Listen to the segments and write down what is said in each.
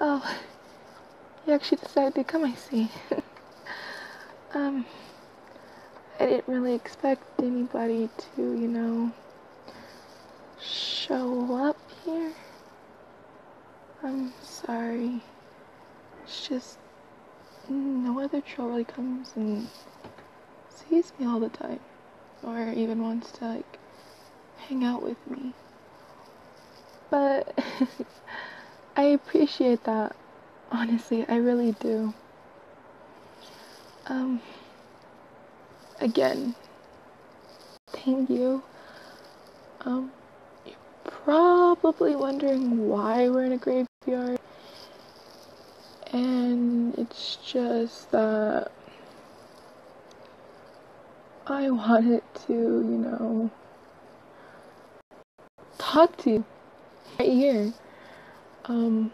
Oh, you actually decided to come, I see. um, I didn't really expect anybody to, you know, show up here. I'm sorry. It's just no other troll really comes and sees me all the time or even wants to like hang out with me. But I appreciate that. Honestly, I really do. Um again, thank you. Um you're probably wondering why we're in a graveyard. And it's just that I wanted to, you know, talk to you right here. Um,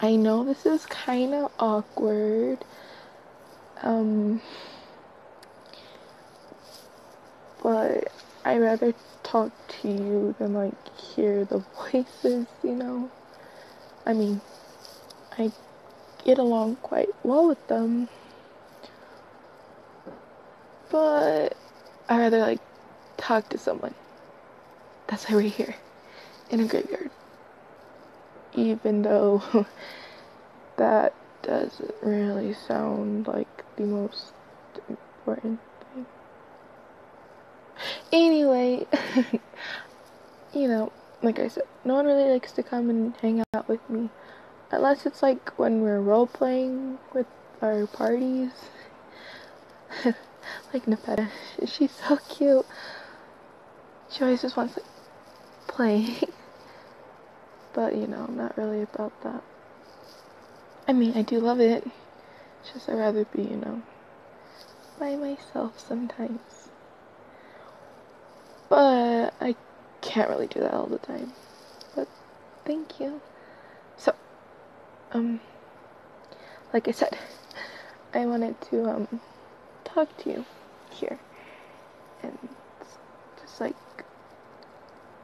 I know this is kind of awkward. Um, but I'd rather talk to you than like hear the voices, you know? I mean, I get along quite well with them. But I rather like talk to someone. That's why we're here in a graveyard. Even though that doesn't really sound like the most important thing. Anyway. you know, like I said, no one really likes to come and hang out with me. Unless it's like when we're role playing with our parties. like Nepeta. She's so cute. She always just wants to play. but you know, I'm not really about that. I mean, I do love it. just I'd rather be, you know, by myself sometimes. But I can't really do that all the time. But thank you. So, um, like I said, I wanted to, um, talk to you here and just like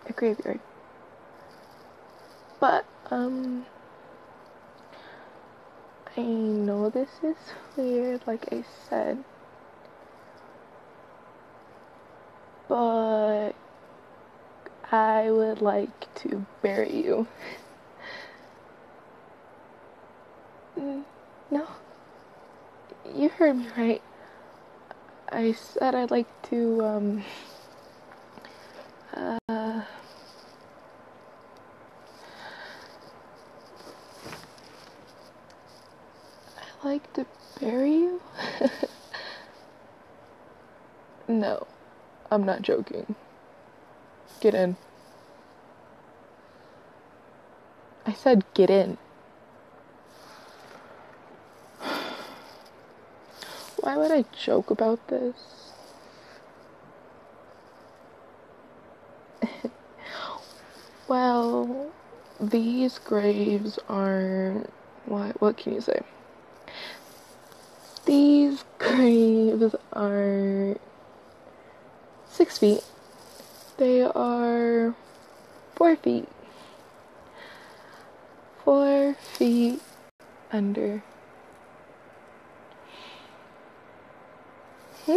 a graveyard. But, um, I know this is weird, like I said, but I would like to bury you. no, you heard me right. I said I'd like to, um, uh, I like to bury you? no, I'm not joking. Get in. I said get in. Why would I joke about this? well, these graves are what what can you say? These graves are six feet. They are four feet. Four feet under. Hmm?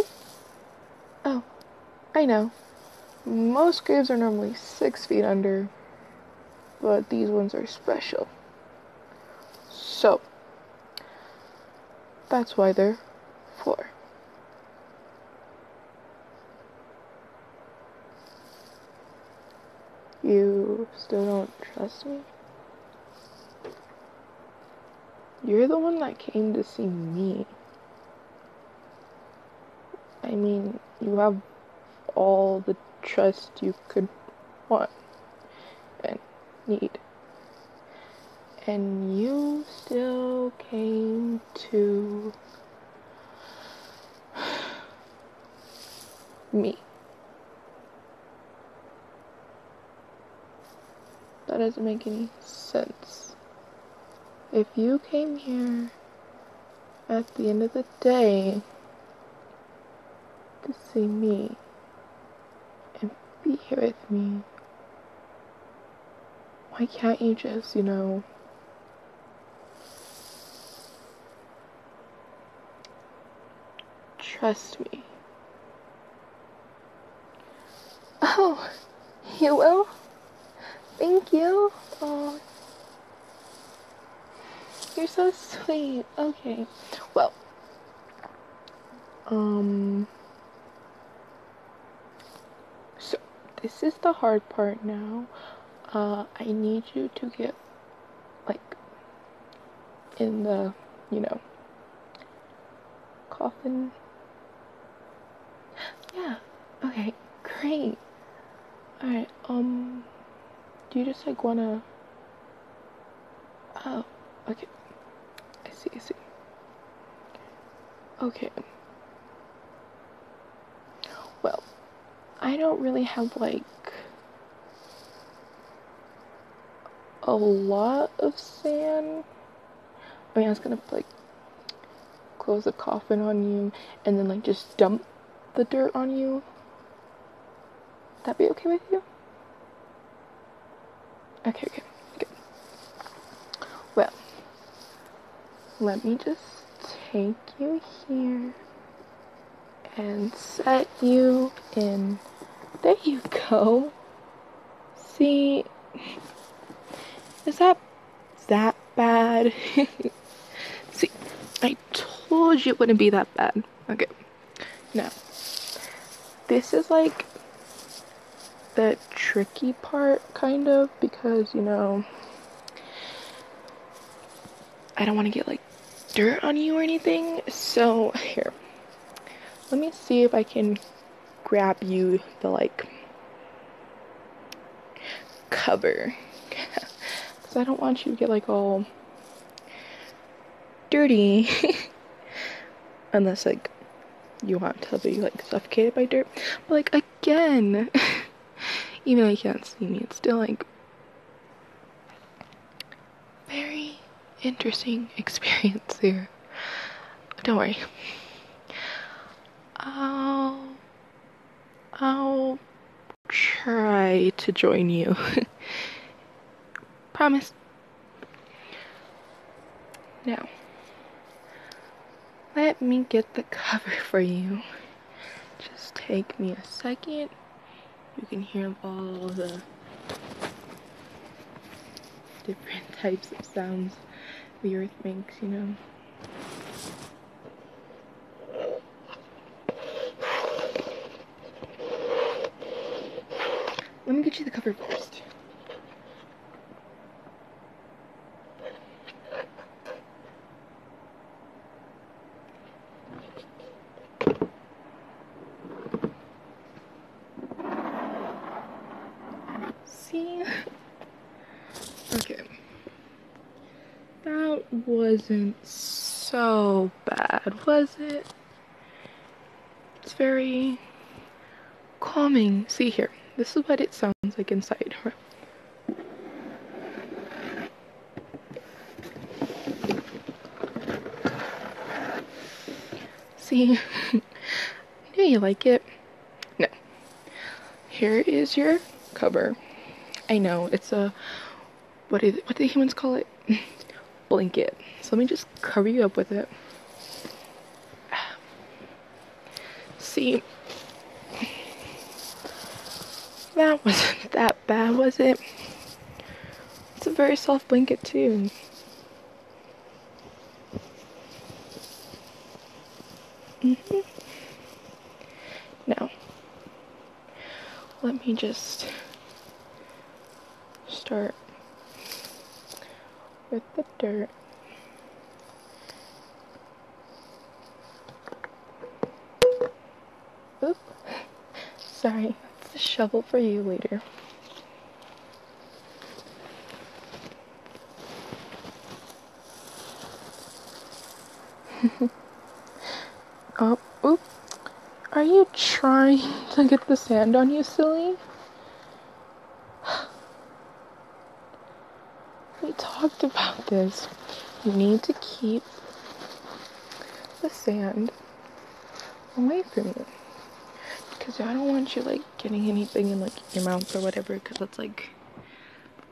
Oh, I know. Most graves are normally six feet under, but these ones are special. So, that's why they're four. You still don't trust me? You're the one that came to see me. I mean, you have all the trust you could want and need. And you still came to me. That doesn't make any sense. If you came here at the end of the day to see me and be here with me, why can't you just, you know, trust me? Oh, you will? Thank you. Oh, you're so sweet. Okay. Well, um, so this is the hard part now. Uh, I need you to get, like, in the, you know, coffin. Yeah. Okay. Great. All right. Um. Do you just like wanna? Oh. Okay. I see. I see. Okay. Well, I don't really have like a lot of sand I mean, I was gonna like close the coffin on you and then like just dump the dirt on you. Would that be okay with you? Okay, okay, good. Well, let me just take you here and set you in. There you go. See, is that that bad? See, I told you it wouldn't be that bad. Okay, now, this is like the tricky part, kind of, because you know, I don't want to get like dirt on you or anything. So, here, let me see if I can grab you the like cover because I don't want you to get like all dirty unless like you want to be like suffocated by dirt but like again even if you can't see me it's still like very interesting experience here don't worry I'll, I'll try to join you. Promise. Now, let me get the cover for you. Just take me a second. You can hear all the different types of sounds the earth makes, you know. Let me get you the cover first. See? Okay. That wasn't so bad, was it? It's very calming. See here, this is what it sounds like inside. See, do you like it. No. Here is your cover. I know, it's a, what, is, what do humans call it? Blanket. So let me just cover you up with it. See, that wasn't that bad, was it? It's a very soft blanket too. Mm -hmm. Now, let me just start with the dirt. Oop. Sorry, it's a shovel for you later. oh, oop. Are you trying to get the sand on you, silly? We talked about this. You need to keep the sand away from you. Because I don't want you, like, getting anything in, like, your mouth or whatever, because it's, like,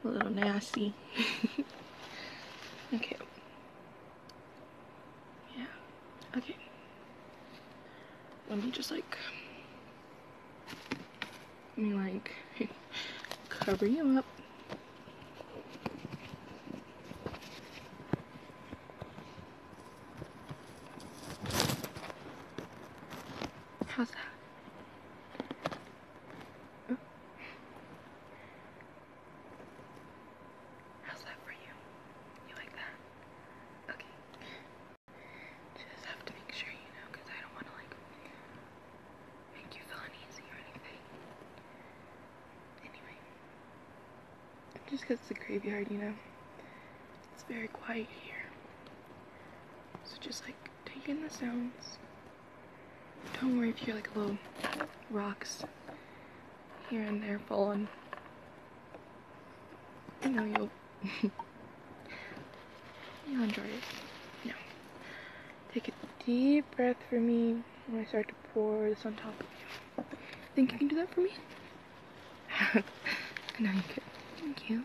a little nasty. okay. Yeah. Okay. Let me just like, let me like cover you up. How's that? How's that for you? You like that? Okay. Just have to make sure you know I don't want to like make you feel uneasy or anything. Anyway. Just because it's a graveyard, you know. It's very quiet here. So just like take in the sounds. Don't worry if you are like a little rocks here and there falling. I know you'll you'll enjoy it. Now, take a deep breath for me when I start to pour this on top of you. Think you can do that for me? I know you can. Thank you.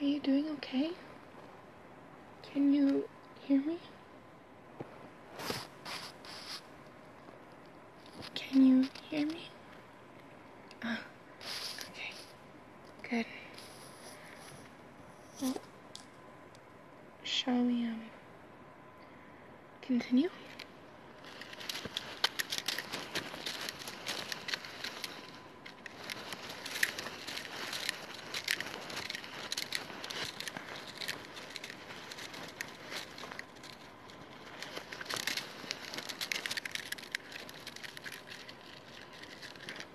Are you doing okay? Can you hear me? Can you hear me? Oh, okay. Good shall we um, continue?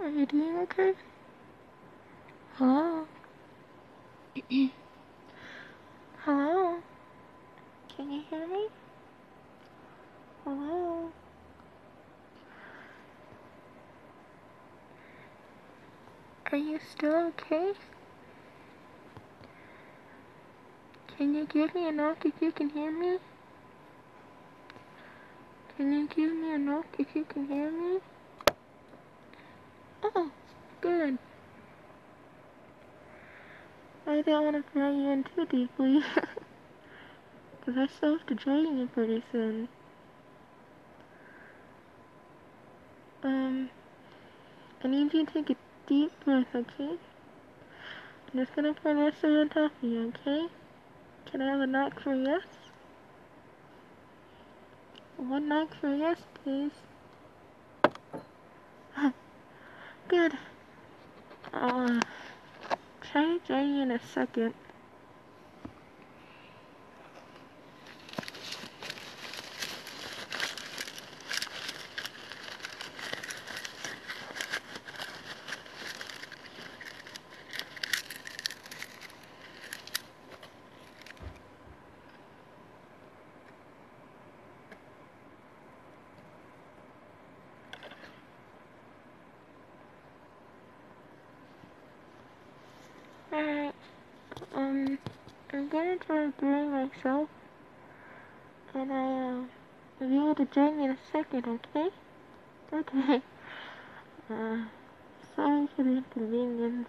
Are you doing okay? Hello? Hello? Can you hear me? Hello? Are you still okay? Can you give me a knock if you can hear me? Can you give me a knock if you can hear me? Oh, good. I don't want to drag you in too deeply. Because I still have to join you pretty soon. Um, I need you to take a deep breath, okay? I'm just gonna pour this on top of you, okay? Can I have a knock for yes? One knock for yes, please. Good. I'll uh, try to join you in a second. Alright, um, I'm gonna try to drain myself, and I, uh, I'll be able to drain in a second, okay? Okay. Uh. Sorry for the inconvenience.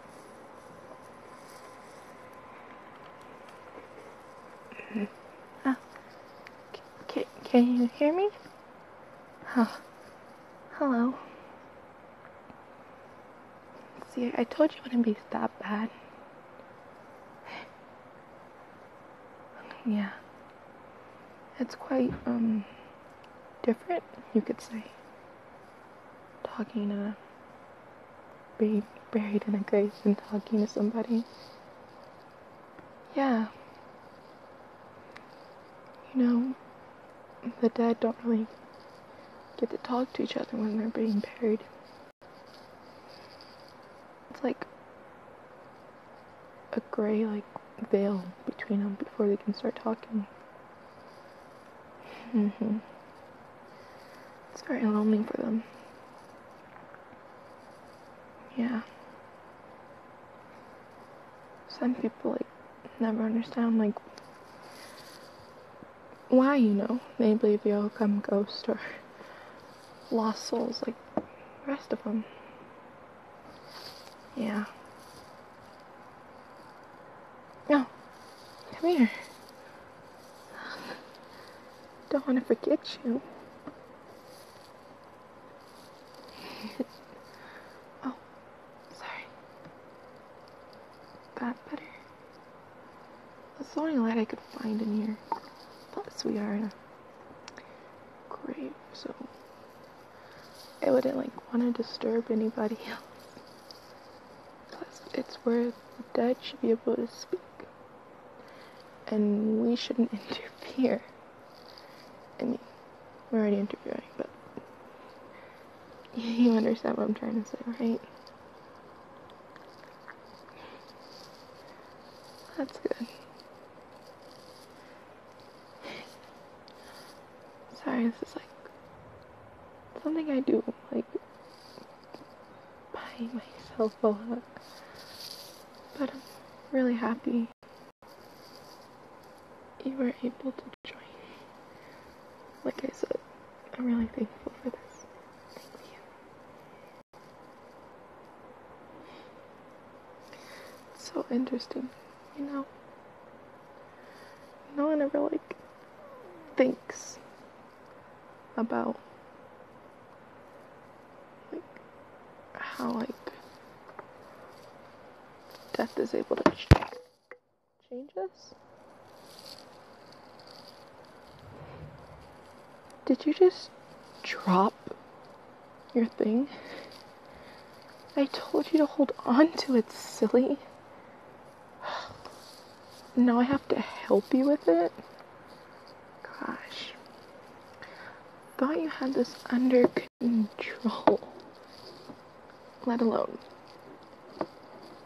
oh. Mm-hmm. Ah. Can, can you hear me? Oh. Hello. See, I told you it wouldn't be that bad. yeah. It's quite, um, different, you could say talking to being buried in a grave and talking to somebody. Yeah. You know, the dead don't really get to talk to each other when they're being buried. It's like a gray like veil between them before they can start talking hmm It's very lonely for them. Yeah. Some people like never understand like why you know they believe they all come ghost or lost souls like the rest of them. Yeah. No, come here. Don't want to forget you. oh, sorry. That better? That's the only light I could find in here. Plus, we are in a grave, so I wouldn't like want to disturb anybody else. Plus, it's where the dead should be able to speak. And we shouldn't interfere. I mean, we're already interviewing, but you understand what I'm trying to say, right? That's good. Sorry, this is like something I do, like by myself a lot. But I'm really happy you were able to join me. Like I said, I'm really thankful for this. so interesting, you know. No one ever like thinks about like how like death is able to change us. Did you just drop your thing? I told you to hold on to it, silly. Now I have to help you with it? Gosh. Thought you had this under control. Let alone.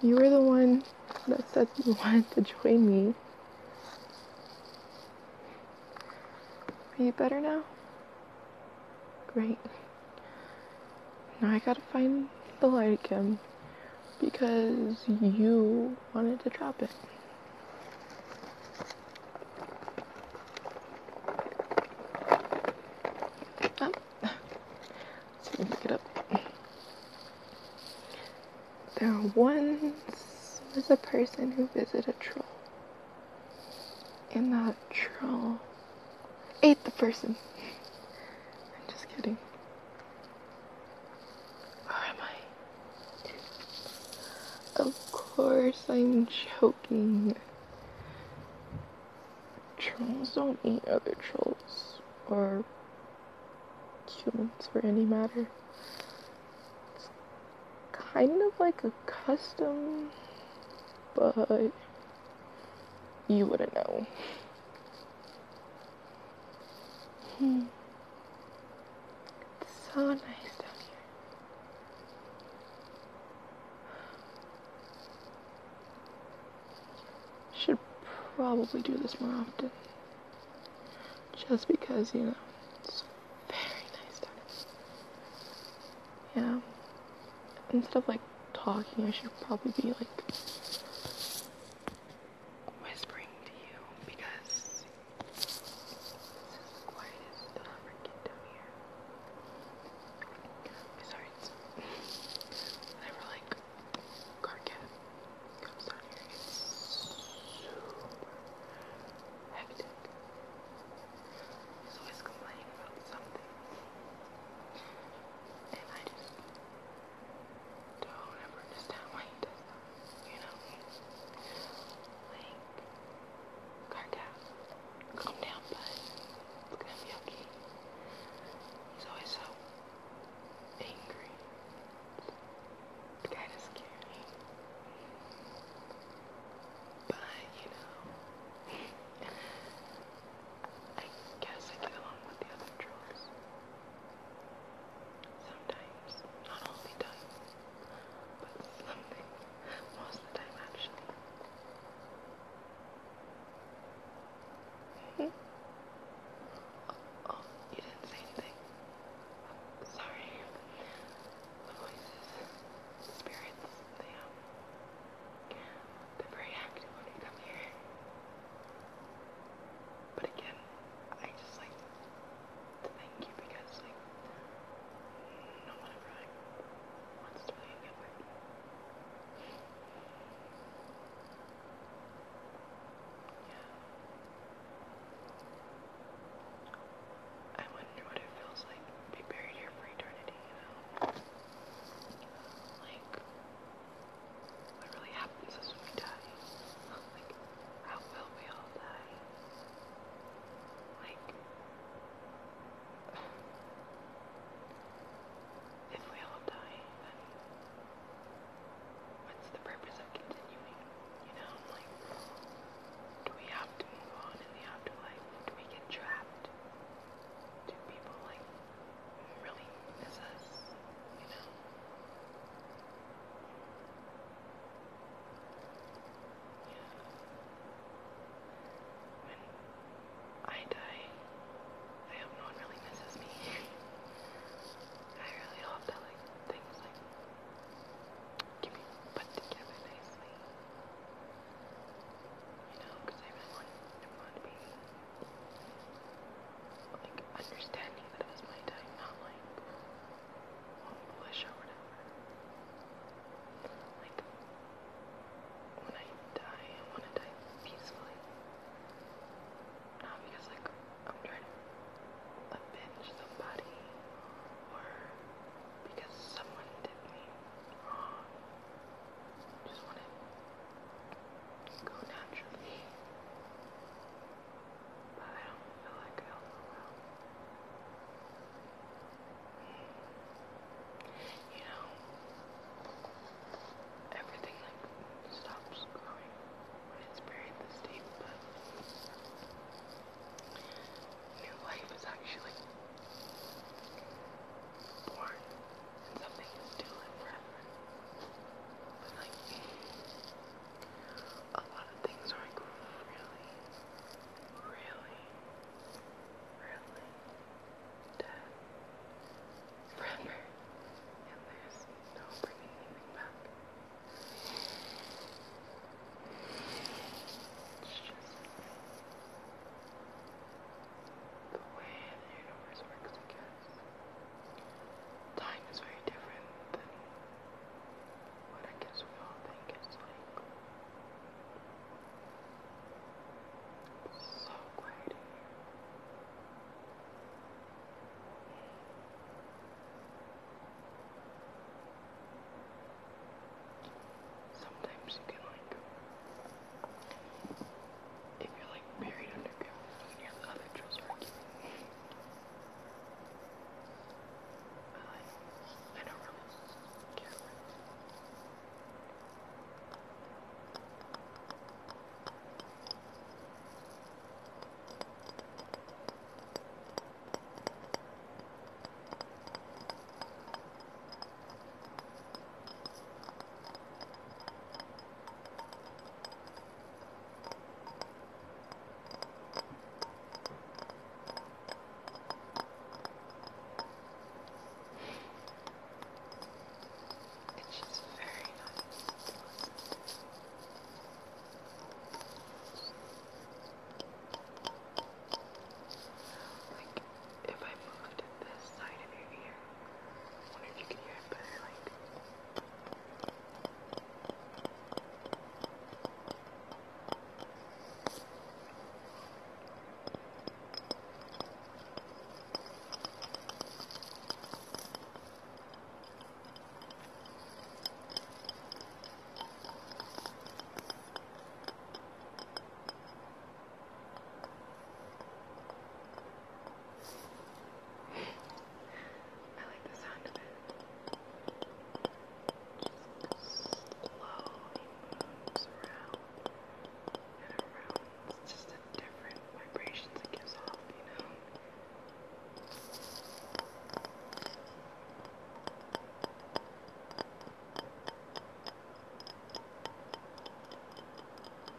You were the one that said you wanted to join me. Are you better now? Great. Now I gotta find the light again because you wanted to drop it. Oh. Let's pick it up. There once was a person who visited a troll, and that troll Ate the person. I'm just kidding. Where am I? Of course, I'm joking. Trolls don't eat other trolls or humans for any matter. It's kind of like a custom, but you wouldn't know. Hmm. so nice down here. Should probably do this more often. Just because, you know, it's very nice down here. Yeah. Instead of like talking, I should probably be like whispering to you because this is the quietest it ever get down here. Besides, there like car comes down here. It's super hectic. He's always complaining about something. And I just don't ever understand why You know? Like, calm down, bud. It's gonna be okay. He's always so angry. kinda scary. But, you know, I guess I get along with the other trolls. Sometimes, not all but something, most of the time actually. -hmm. oh, you didn't say anything. Sorry. The voices, spirits, they, um, they're very when they come here. But again, I just like to thank you because like no one ever wants to really hang out with Yeah. I wonder what it feels like to be buried here for eternity, you know? Like, what really happens is we die. Like, how will we all die? Like, if we all die, then what's the purpose of continuing? You know, like, do we have to move on in the afterlife? Do we get trapped? Do people, like, really is you know. When I die, I hope no one really misses me. I really hope that like things like can put together nicely. You know, I really want to be like understanding that it was my time, not like well, bush or whatever. Like when I die, I want to die peacefully. Not because like I'm trying to avenge somebody or because someone did me wrong. Just want to go naturally. But I don't feel like I also will. You know, everything like stops growing when it's buried this deep, but new life is actually born and something is stolen forever. But like a lot of things are like really, really, really dead forever. And there's no bringing anything back. It's just the way the universe works again time is very different than what I guess we all think it's like. so quiet Sometimes you can like if you're like buried underground and you have other trolls working. like, I don't really care it's just very nice. Like, if I moved this side of your ear, I wonder if you can hear it better, like... I I like the sound of it. Just slowly moves around and around. It's just the different vibrations it gives off, you know? I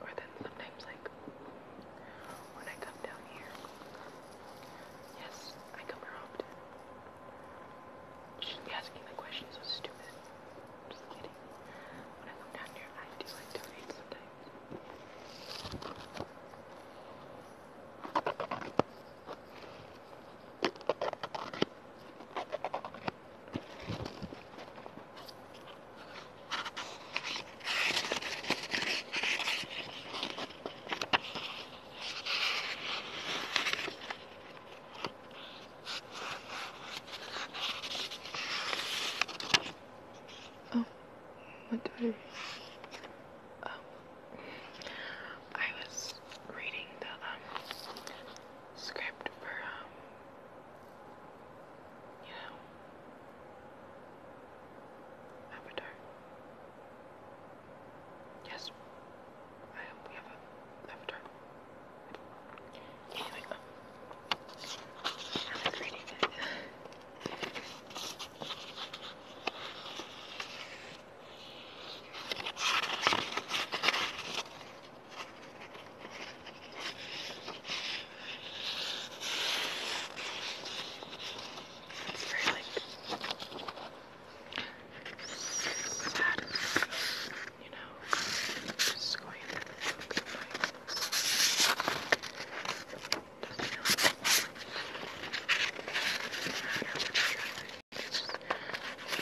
or then sometimes like when I come down here. Yes, I come here often. Shouldn't be asking the questions. so stupid. Just kidding. When I come down here, I do like to read sometimes. Oh, what did I? Um, I was reading the um, script for um, you know, Avatar. Yes, I am. We have an avatar. Anyway, um, I was reading it. It's very like sad, you know, just going in the book and like doesn't really matter what you're trying to do. It's just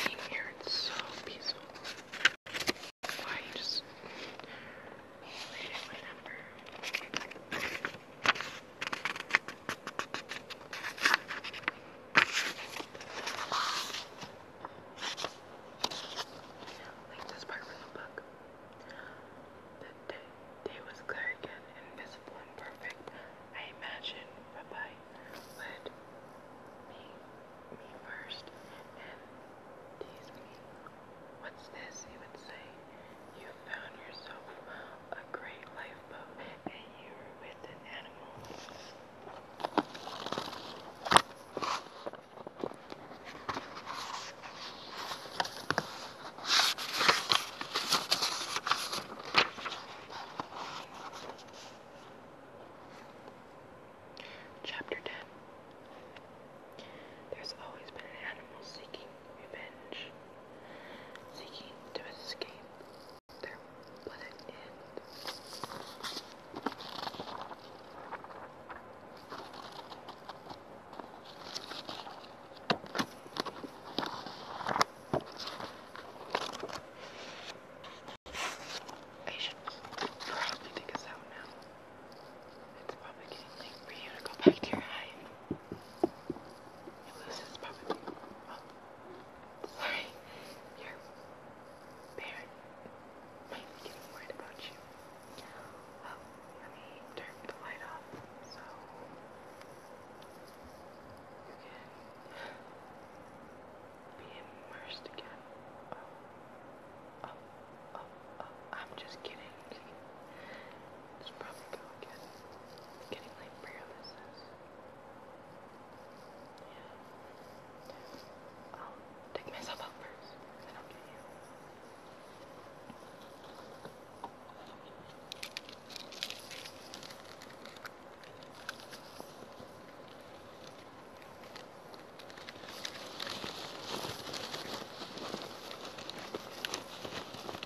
being here, it's so peaceful. Why you just made it my number? Like this part from the book. The day, was clear again, invisible and perfect. I imagine Rabbi would meet me first and tease me. What's this? He would say. You found yourself a great lifeboat and you were with an animal. Chapter 10 There's always been an animal seeking revenge, seeking to escape their pleasant end. probably take us out now. It's probably getting late for you to go back to your hide. It loses probably. Oh, sorry. Your getting worried about you. Well, let me turn the light off so you can immersed again. Oh oh oh, oh, oh, oh. I'm just kidding. It's probably go again. It's getting like paralysis. Yeah. I'll take myself out first, and then I'll get you.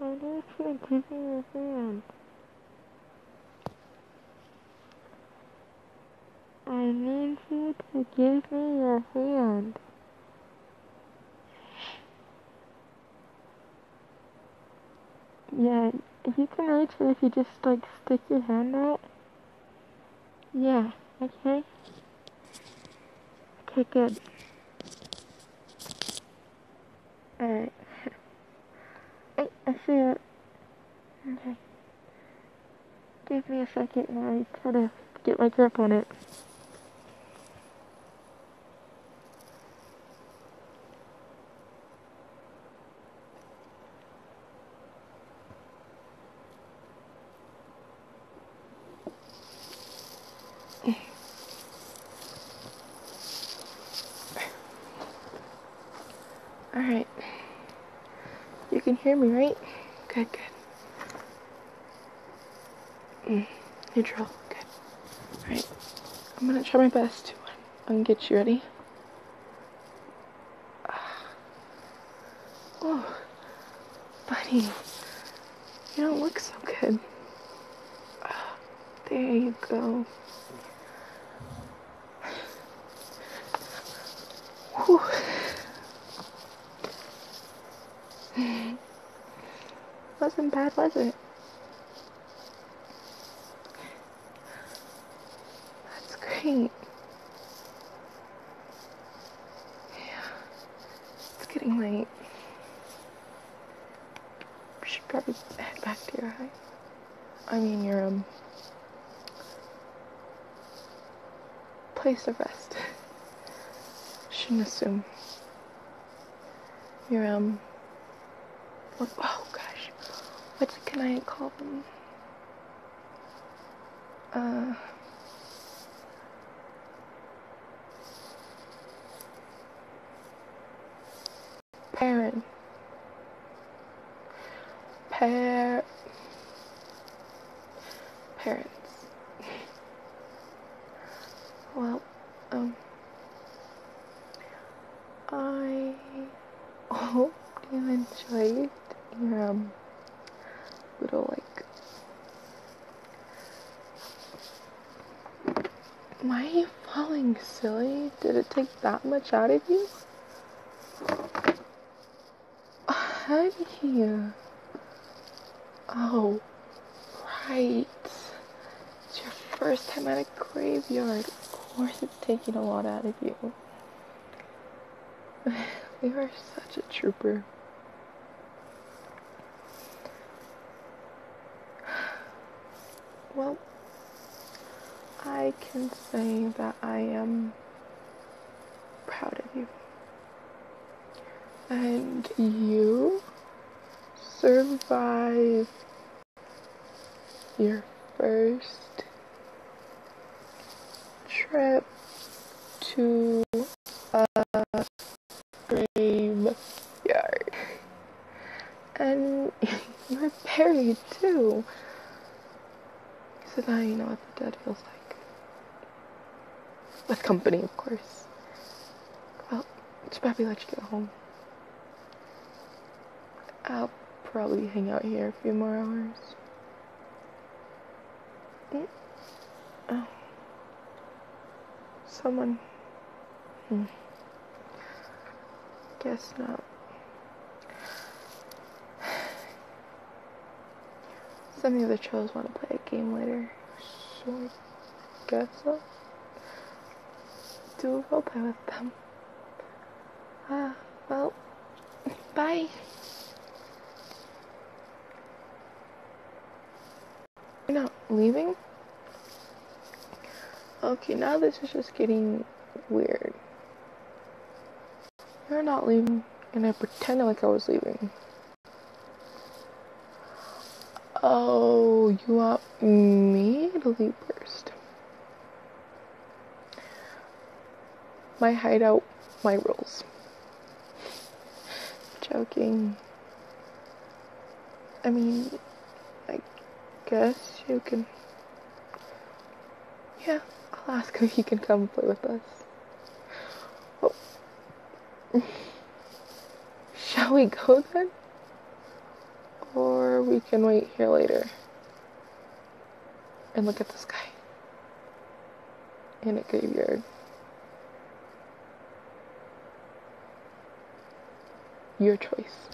I need you to be your hand. I need you to give me your hand. Yeah, you can reach it if you just like stick your hand out. Yeah, okay. Okay, it. Alright. hey, I see it. Okay. Give me a second and I try to get my grip on it. All right. You can hear me, right? Good, good. Mm, neutral, good. All right. I'm gonna try my best to um, um, get you ready. oh, buddy, you don't look so good. Ah, there you go. Whew. Wasn't bad, was it? That's great. Yeah, it's getting late. We should probably head back to your house. I mean your um, place of rest. Shouldn't assume. Your um oh gosh. What can I call them? Uh parent par- parents well um I hope you your um, little like why are you falling, silly? Did it take that much out of you? Out of here. Oh, right. It's your first time at a graveyard. Of course it's taking a lot out of you. you are such a trooper. Well, I can say that I am proud of you. And you survived your first trip to a graveyard and you're buried too. So now you know what the dead feels like. With company, of course. Well, should probably let you get home. I'll probably hang out here a few more hours. Mm. Oh. Someone. Mm. Guess not. Some of the trolls want to play a game later, so I guess so. will do a roleplay with them. Ah, well, bye. You're not leaving? Okay, now this is just getting weird. You're not leaving, and I pretended like I was leaving. Oh, you want me to leave first? My hideout, my rules. Joking. I mean, I guess you can yeah, I'll ask him if he can come play with us. Oh. Shall we go then? Or we can wait here later and look at the sky in a graveyard. Your choice.